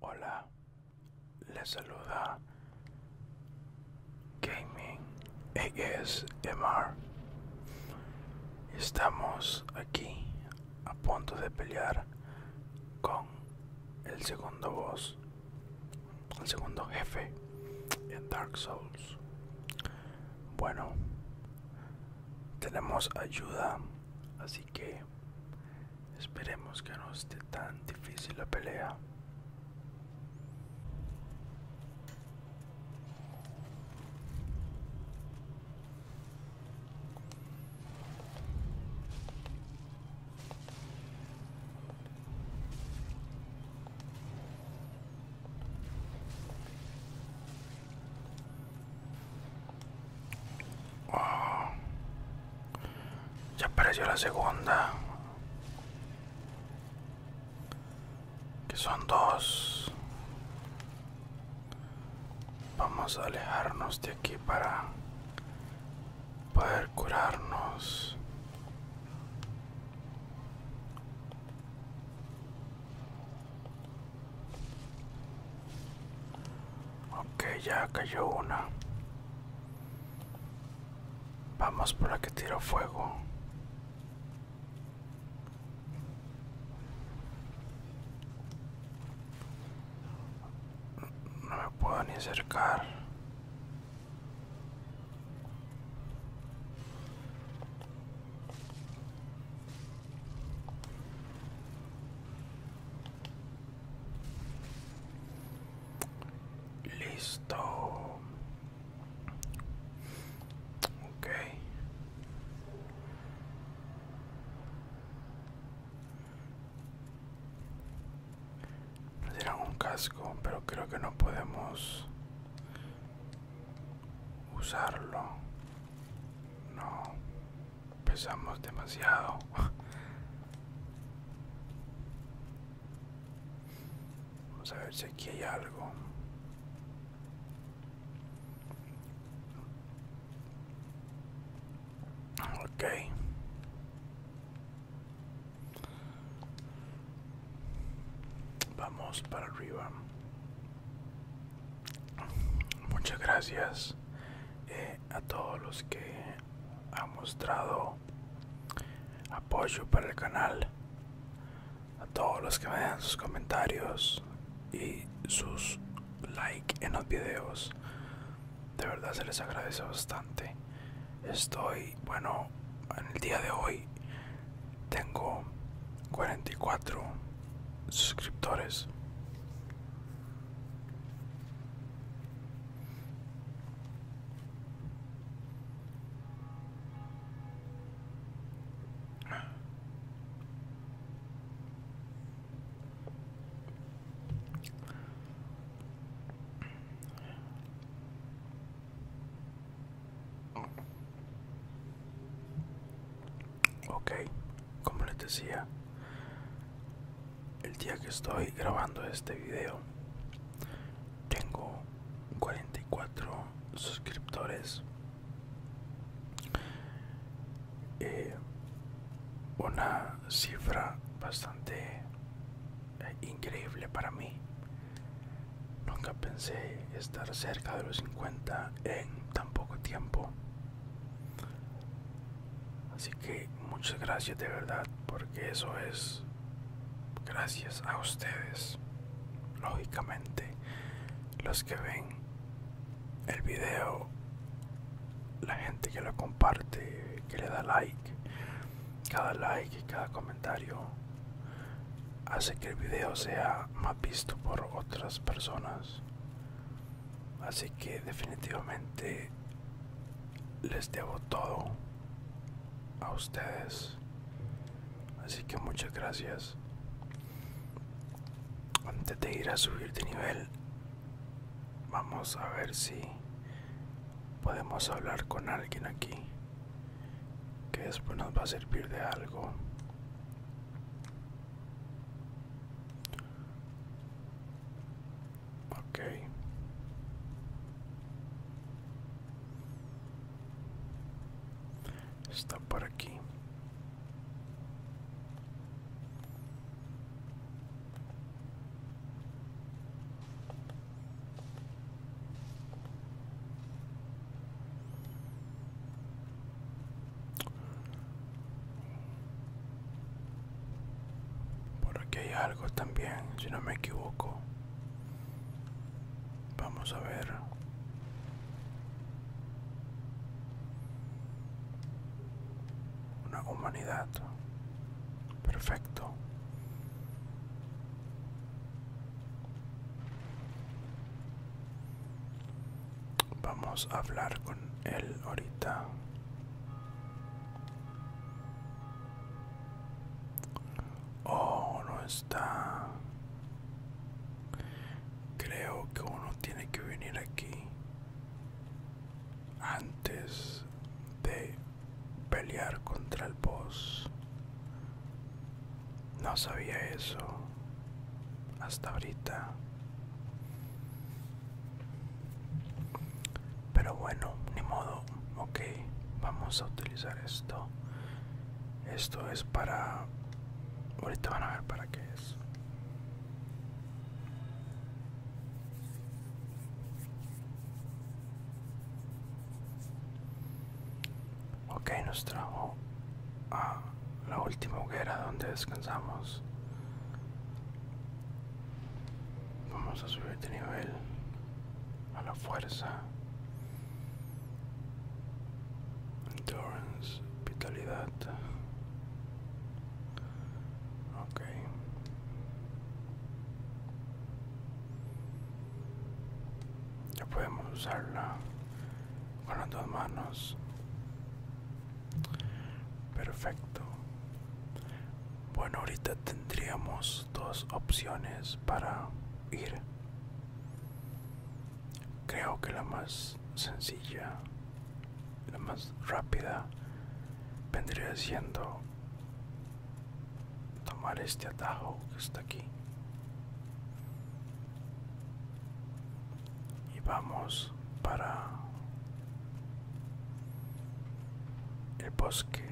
Hola, les saluda Gaming ASMR. Estamos aquí a punto de pelear con el segundo boss, el segundo jefe en Dark Souls. Bueno, tenemos ayuda, así que Esperemos que no esté tan difícil la pelea. Ya apareció la segunda. Que son dos. Vamos a alejarnos de aquí para poder curarnos. Okay, ya cayó una. Vamos por la que tiro fuego. No me puedo ni acercar. Listo. Ok. Nos un casco, pero creo que no podemos usarlo. No. Pesamos demasiado. Vamos a ver si aquí hay algo. Ok. Vamos para arriba. Muchas gracias eh, a todos los que han mostrado apoyo para el canal, a todos los que me dejan sus comentarios y sus like en los videos. De verdad se les agradece bastante. Estoy, bueno, en el día de hoy tengo 44 suscriptores ok como les decía el día que estoy grabando este video tengo 44 suscriptores eh, una cifra bastante eh, increíble para mí nunca pensé estar cerca de los 50 en tan poco tiempo Así que muchas gracias de verdad, porque eso es gracias a ustedes, lógicamente, los que ven el video, la gente que lo comparte, que le da like, cada like y cada comentario hace que el video sea más visto por otras personas Así que definitivamente les debo todo a ustedes. Así que muchas gracias. Antes de ir a subir de nivel, vamos a ver si podemos hablar con alguien aquí. Que después nos va a servir de algo. Ok. Está por aquí. Por aquí hay algo también, si no me equivoco. Vamos a ver. Una humanidad. Perfecto. Vamos a hablar con él ahorita. Oh, no está. Creo que uno tiene que venir aquí antes de pelear contra el boss no sabía eso hasta ahorita. Pero bueno, ni modo. Ok, vamos a utilizar esto. Esto es para... Ahorita van a ver para qué es. Ok, nos trajo a ah, la última hoguera donde descansamos. Vamos a subir de nivel a la fuerza, endurance, vitalidad. Ok. Ya podemos usarla con las dos manos. Perfecto. Bueno, ahorita tendríamos dos opciones para ir. Creo que la más sencilla, la más rápida, vendría siendo tomar este atajo que está aquí y vamos para el bosque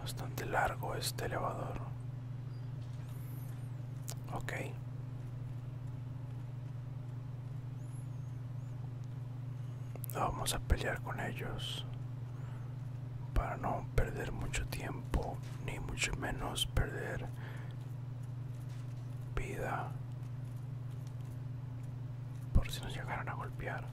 Bastante largo este elevador. Ok. Vamos a pelear con ellos para no perder mucho tiempo ni mucho menos perder vida por si nos llegaron a golpear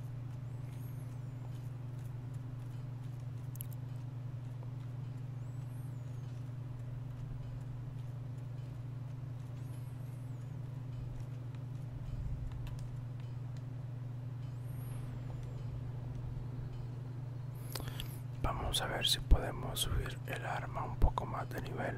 Vamos a ver si podemos subir el arma un poco más de nivel.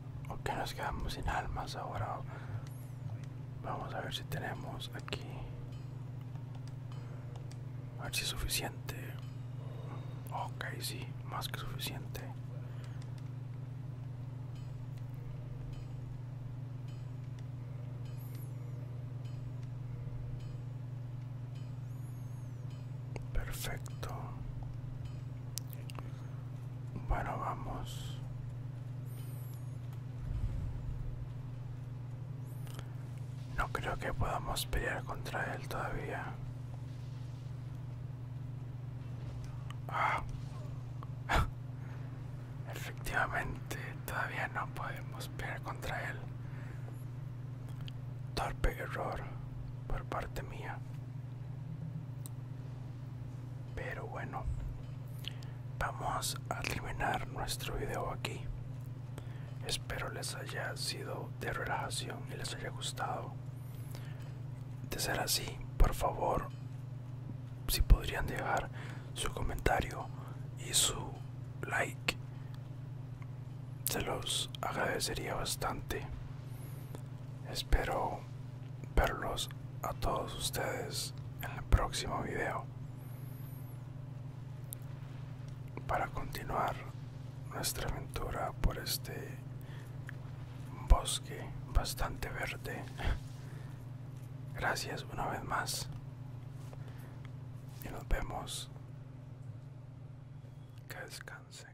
Ok, nos quedamos sin almas ahora vamos a ver si tenemos aquí a ver si es suficiente ok sí más que suficiente perfecto bueno, vamos. No creo que podamos pelear contra él todavía. Ah. Efectivamente, todavía no podemos pelear contra él. Torpe error por parte mía. Pero bueno, vamos a terminar nuestro video aquí. Espero les haya sido de relajación y les haya gustado. De ser así, por favor, si podrían dejar su comentario y su like, se los agradecería bastante. Espero verlos a todos ustedes en el próximo video para continuar nuestra aventura por este bosque bastante verde gracias una vez más y nos vemos que descansen